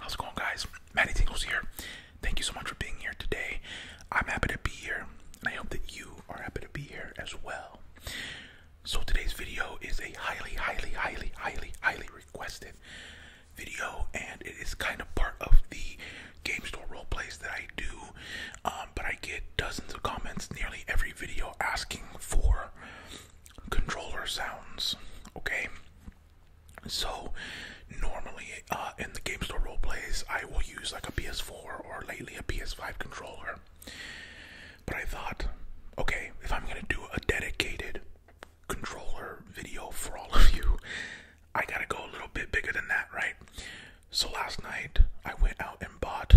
How's it going, guys? Maddie Tingles here. Thank you so much for being here today. I'm happy to be here, and I hope that you are happy to be here as well. So, today's video is a highly, highly, highly, highly, highly requested video, and it is kind of part of the game store role plays that I do. Um, but I get dozens of comments nearly every video asking for controller sounds. Okay, so normally uh, in the game store role plays, I will use like a PS4 or lately a PS5 controller. But I thought, okay, if I'm gonna do a dedicated controller video for all of you, I gotta go a little bit bigger than that, right? So last night I went out and bought,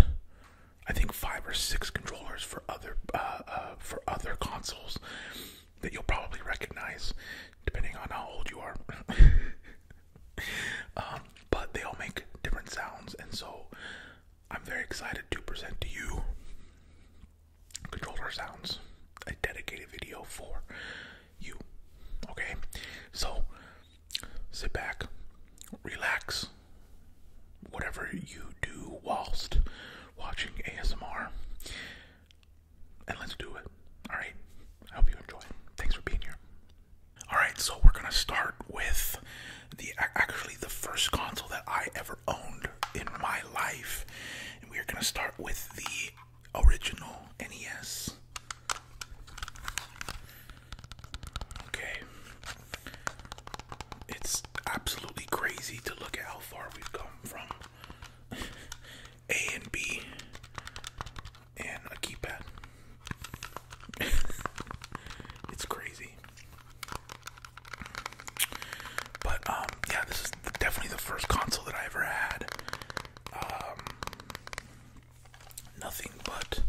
I think five or six controllers for other uh, uh for other consoles that you'll probably recognize, depending on how old you are. um, but they all make different sounds, and so I'm very excited to present to you controller sounds, a dedicated video for you. Okay? So sit back, relax, whatever you do whilst watching ASMR, and let's do it. Alright? I hope you enjoy. Thanks for being here. Alright, so we're gonna start with the actually the first console that I ever owned in my life. And we are gonna start with the original NES. Okay. It's absolutely crazy to look at how far we've come from A and B and a keypad. it's crazy. But um yeah, this is definitely the first console that I ever had um, nothing but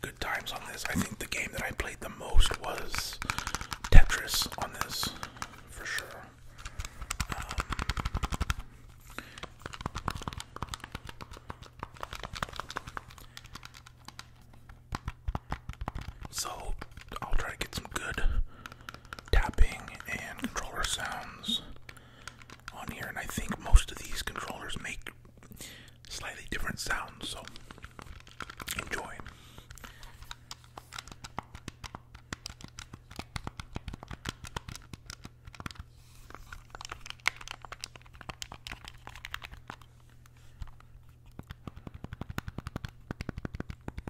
good times on this. I think the game that I played the most was Tetris on this, for sure. Um, so, I'll try to get some good tapping and controller sounds on here, and I think most of these controllers make slightly different sounds, so enjoy.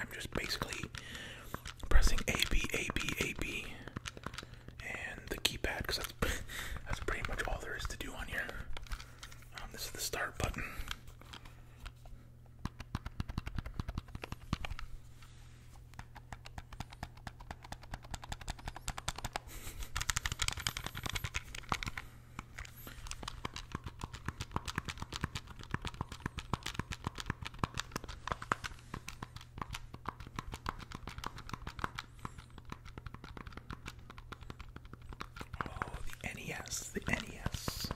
I'm just basically pressing A B A B A B and the keypad because that's pretty much all there is to do on here. Um, this is the start button. Oh, the NES, the NES.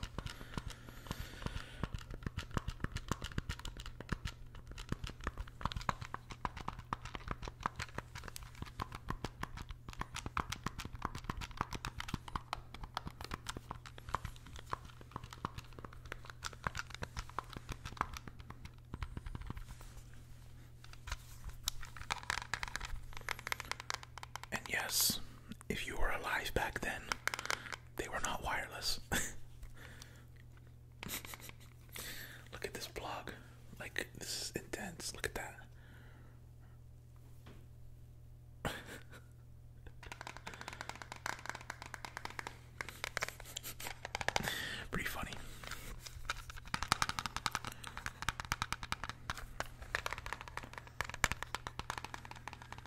And yes, if you were alive back then, they were not wireless. Look at this blog. Like this is intense. Look at that. Pretty funny.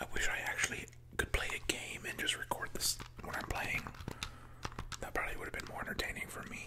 I wish I actually could play a game and just record this when I'm playing. That probably would have been more entertaining for me.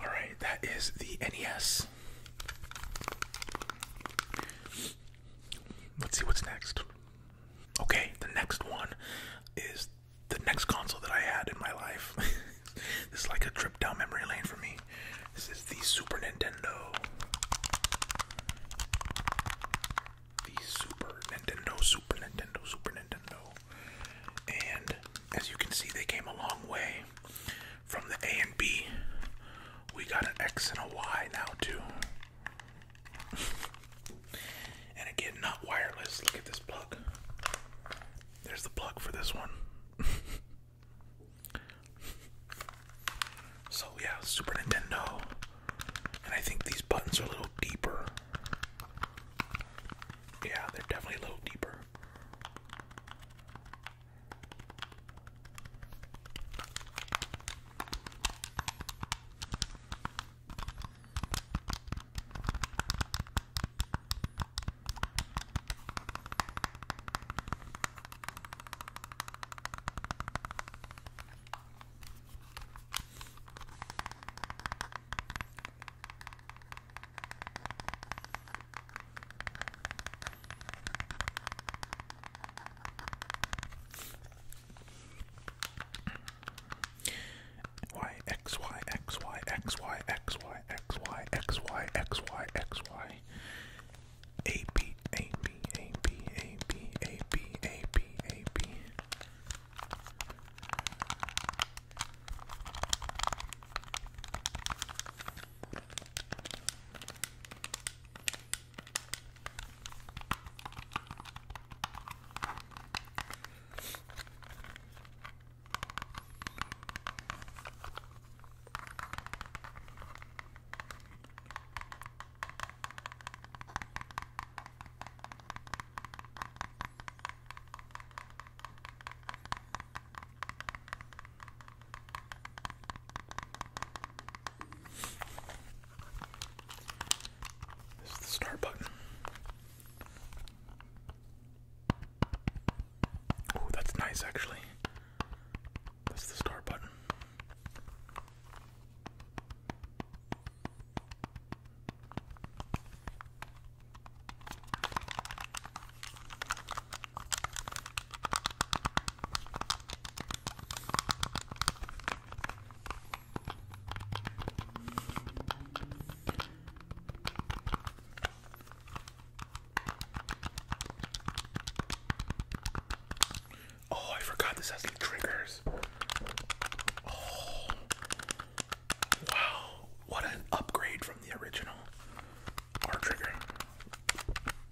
All right, that is the NES. Let's see what's next. Okay, the next one is the next console that I had in my life. this is like a trip down memory lane for me. This is the Super Nintendo. The Super Nintendo, Super Nintendo, Super Nintendo. And as you can see, they came a long way from the A and B. We got an X and a Y now, too. and again, not wireless. Look at this plug. There's the plug for this one. So yeah, Super Nintendo. And I think these buttons are a little deeper. Yeah, they're definitely a little deeper. Y X Y X Y X Y X Y Y, X, Y, X, Y, X, Y, X, Y. A, B, A, B, A, B, A, B, A, B, A, B, A, B. This is the start button. Oh, that's nice actually. That's the star button. Oh, I forgot this has triggers. Oh, wow! What an upgrade from the original R trigger.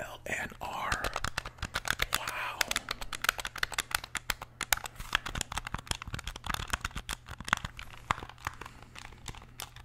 L and R. Wow.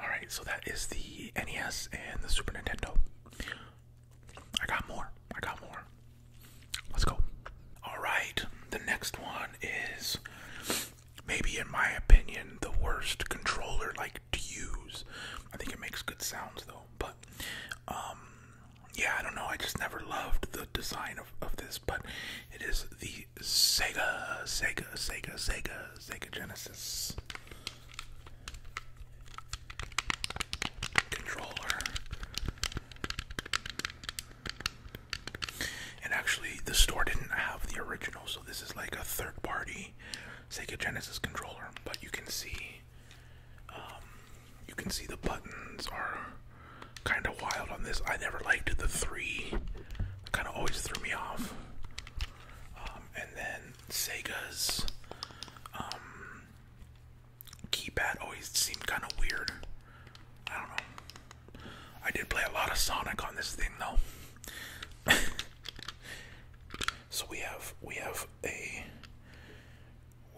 Alright, so that is the NES and the Super Nintendo. I got more. I got more. Let's go. Alright, the next one is maybe, in my opinion, the worst controller like to use. I think it makes good sounds though, but um, yeah, I don't know. I just never loved the design of this, but it is the Sega, Sega, Sega, Sega, Sega Genesis controller. And actually, the store didn't have the original, so this is like a third party Sega Genesis controller. But you can see, um, you can see the buttons are kind of wild on this. I never liked the three kind of always threw me off. Um, and then Sega's um, keypad always seemed kind of weird. I don't know. I did play a lot of Sonic on this thing though. so we have we have a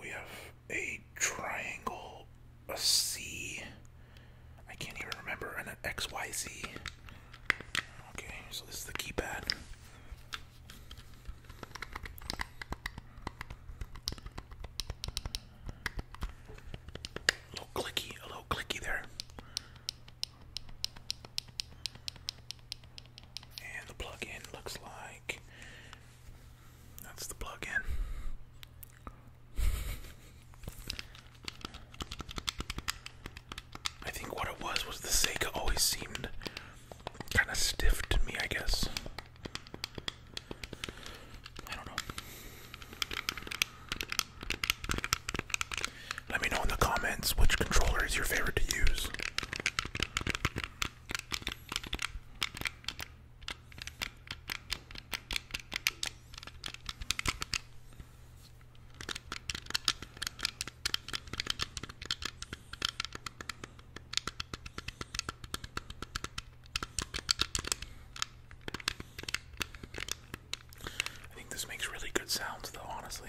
we have a triangle, a C, I can't even remember an XYZ. Okay, so this is the keypad. A little clicky, a little clicky there. And the plug-in looks like that's the plug-in. I think what it was was the Sega always seemed kind of stiff to me, I guess. I don't know. Let me know in the comments which controller is your favorite to use. I think this makes really good sounds, though, honestly.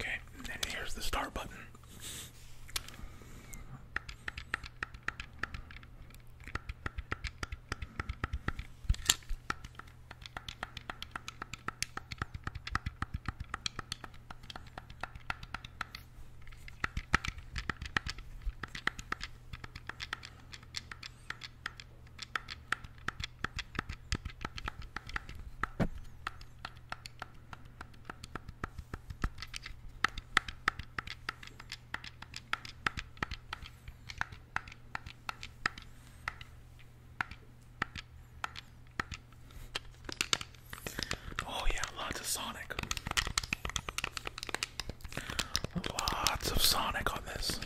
Okay, and then here's the start button. Oh yeah, lots of Sonic. Lots of Sonic on this.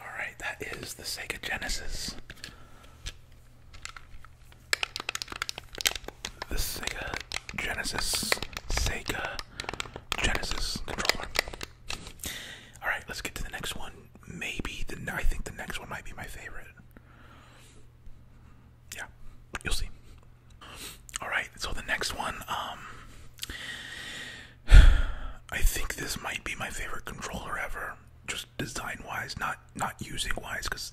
All right, that is the Sega Genesis. The Sega Genesis, Sega Genesis controller. All right, let's get to the next one. Maybe the I think the next one might be my favorite. Yeah, you'll see. All right, so the next one, um, I think this might be my favorite controller ever, just design-wise, not not using-wise, because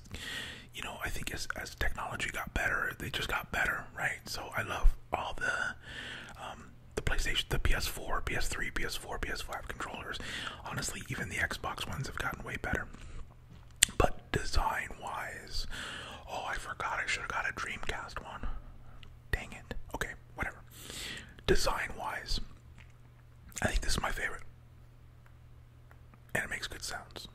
you know I think as as technology got better, they just got better, right? So I love all the um, the PlayStation, the PS4, PS3, PS4, PS5 controllers. Honestly, even the Xbox ones have gotten way better. But design wise, oh, I forgot I should have got a Dreamcast one. Dang it. Okay, whatever. Design wise, I think this is my favorite. And it makes good sounds.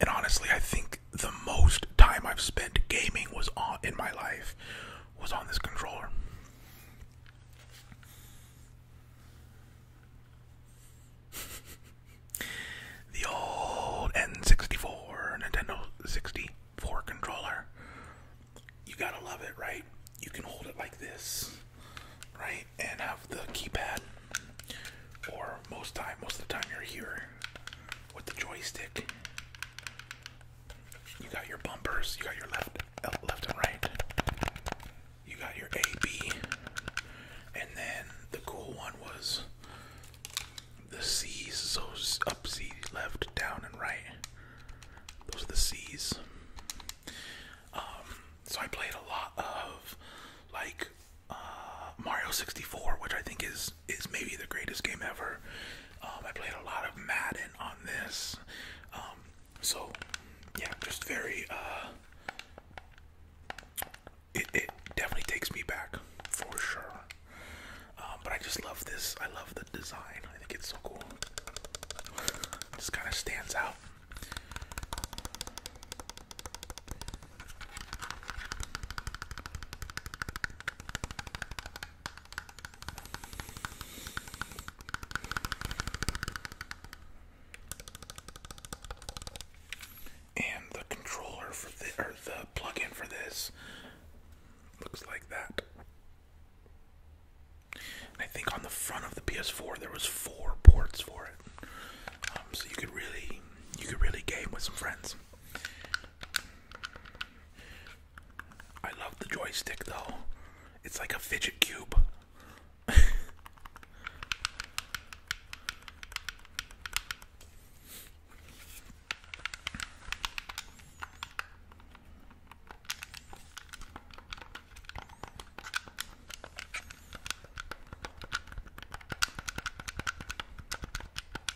And honestly, I think the most time I've spent gaming was on in my life was on this controller. the old N64 Nintendo 64 controller. You gotta love it, right? You can hold it like this, right? And have the keypad, or most time, most of the time, you're here, with the joystick. You got your bumpers, you got your left uh, left and right. You got your A B. And then the cool one was the C's, so up C, left, down and right. Those are the C's. Um, so I played a lot of like uh, Mario 64, which I think is is maybe the greatest game ever. Um, I played a lot of Madden on this, um, so yeah, just very. Uh, it it definitely takes me back for sure. Um, but I just love this. I love the design. I think it's so cool. Just kind of stands out. And the controller for the or the plug for this looks like that. I think on the front of the PS4 there was four ports for it, um, so you could really you could really game with some friends. I love the joystick though. It's like a fidget cube.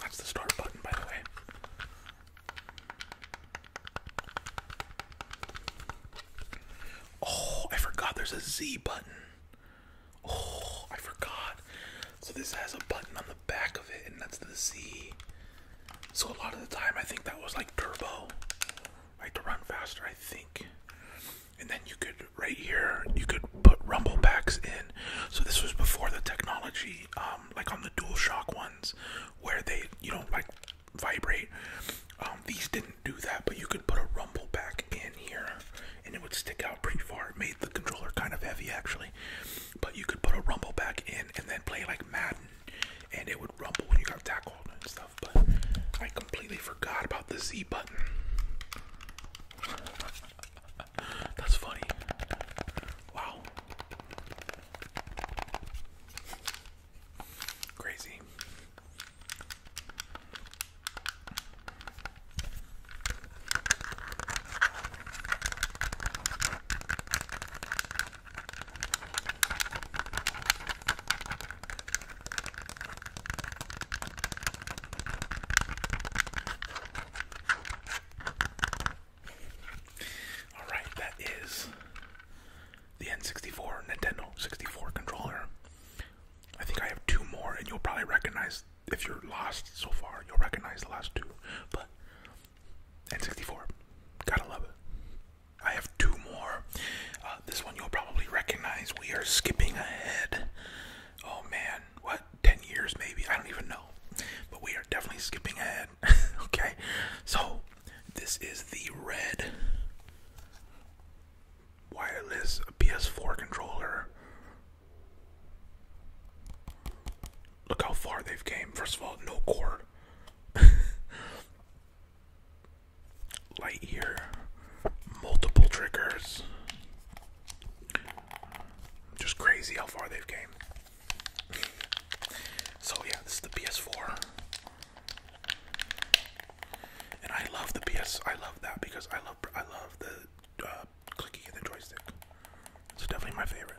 That's the start button, by the way. Oh, I forgot there's a Z button. Oh, I forgot. So this has a button on the back of it, and that's the Z. So a lot of the time, I think that was like turbo, like to run faster, I think and then you could right here you could put rumble packs in. So this was before the technology, um, like on the DualShock ones, where they you know, like vibrate. Um, these didn't do that, but you could put a rumble pack in here, and it would stick out pretty far. made the controller kind of heavy actually, but you could put a rumble pack in and then play like Madden, and it would rumble when you got tackled and stuff. But I completely forgot about the Z button. That's funny. Wow. Crazy. Alright, that is the N64 Nintendo 64 controller. I think I have two more, and you'll probably recognize if you're lost so far, you'll recognize the last two. But N64, gotta love it. I have two more. Uh, this one you'll probably recognize. We are skipping ahead. Oh man, what, 10 years maybe? I don't even know. But we are definitely skipping ahead. okay, so this is the red wireless PS4 controller. Look how far they've came. First of all, no cord. Light here, multiple triggers. Just crazy how far they've came. So yeah, this is the PS4. And I love the PS. I love that because I love I love the uh, clicking of the joystick. It's definitely my favorite.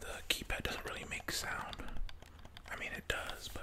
the keypad doesn't really make sound. I mean, it does, but.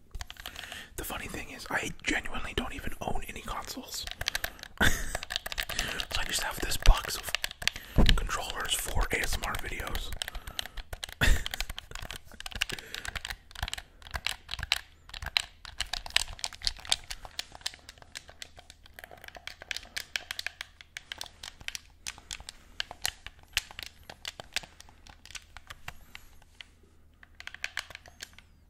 The funny thing is, I genuinely don't even own any consoles. so I just have this box of controllers for ASMR videos.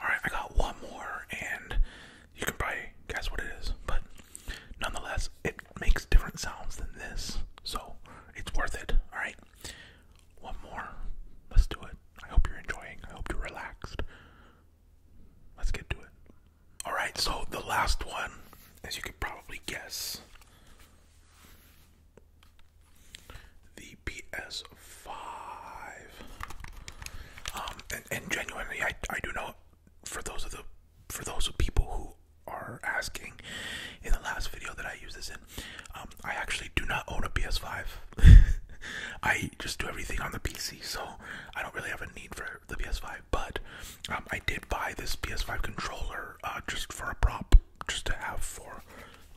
Alright, I got one more, and you can probably guess what it is, but nonetheless, it makes different sounds than this, so it's worth it. Alright, one more. Let's do it. I hope you're enjoying, I hope you're relaxed. Let's get to it. Alright, so the last one, as you could probably guess, the PS5. Um, and, genuinely, I, I do not for those of the for those of people who are asking in the last video that I use this in, um, I actually do not own a PS5. I just do everything on the PC, so I don't really have a need for the PS5. But um, I did buy this PS5 controller uh, just for a prop, just to have for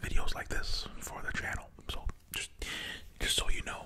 videos like this for the channel. So just, just so you know.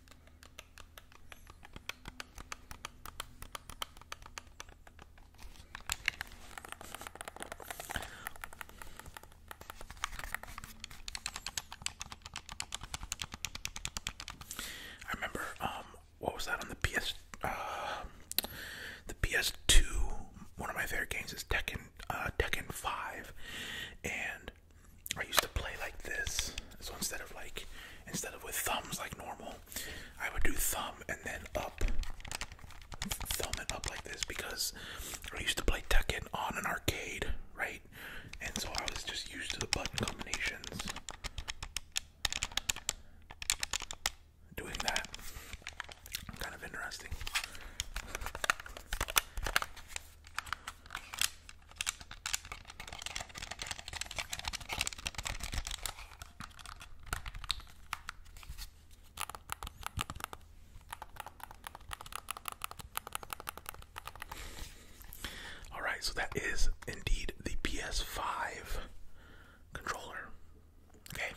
I remember, um, what was that on the PS, uh, the PS2, one of my favorite games is Tekken, uh, Tekken 5, and I used to play like this. So instead of like, instead of with thumbs like normal, I would do thumb and then up. Thumb and up like this because I used to play Tekken on an arcade, right? And so I was just used to the button combinations. Doing that. Kind of interesting. All right, so that is indeed the PS5 controller. Okay.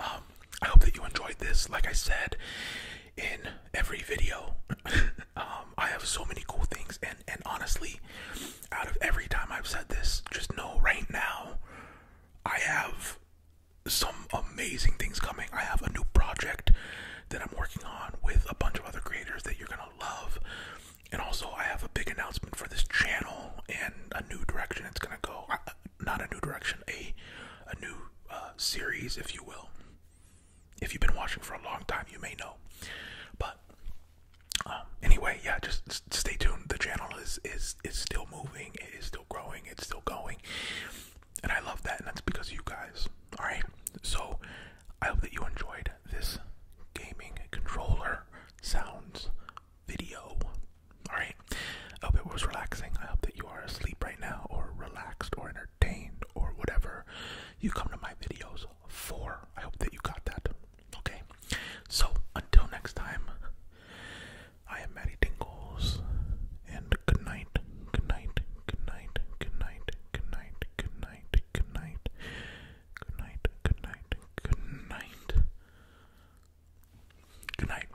Um, I hope that you enjoyed this. Like I said, in every video. Um, I have so many cool things, and and honestly, out of every time I've said this, just know right now, I have some amazing things coming. I have a new project that I'm working on with a bunch of other creators that you're gonna love. And also, I have a big announcement for this channel and a new direction it's gonna go not a new direction, a a new uh, series, if you will. If you've been watching for a long time, you may know. But um, anyway, yeah, just stay tuned. The channel is is is still moving. It is still growing. It's still going, and I love that. And that's because of you guys. All right. So I hope that you enjoyed this gaming controller sounds video. All right. I hope it was relaxing. I hope that you are asleep right now, or relaxed, or entertained, or whatever you come to my videos for. I hope that you got that. Okay? So, until next time, I am Maddie Dingles, and good night, good night, good night, good night, good night, good night, good night, good night, good night, good night, good night. Good night.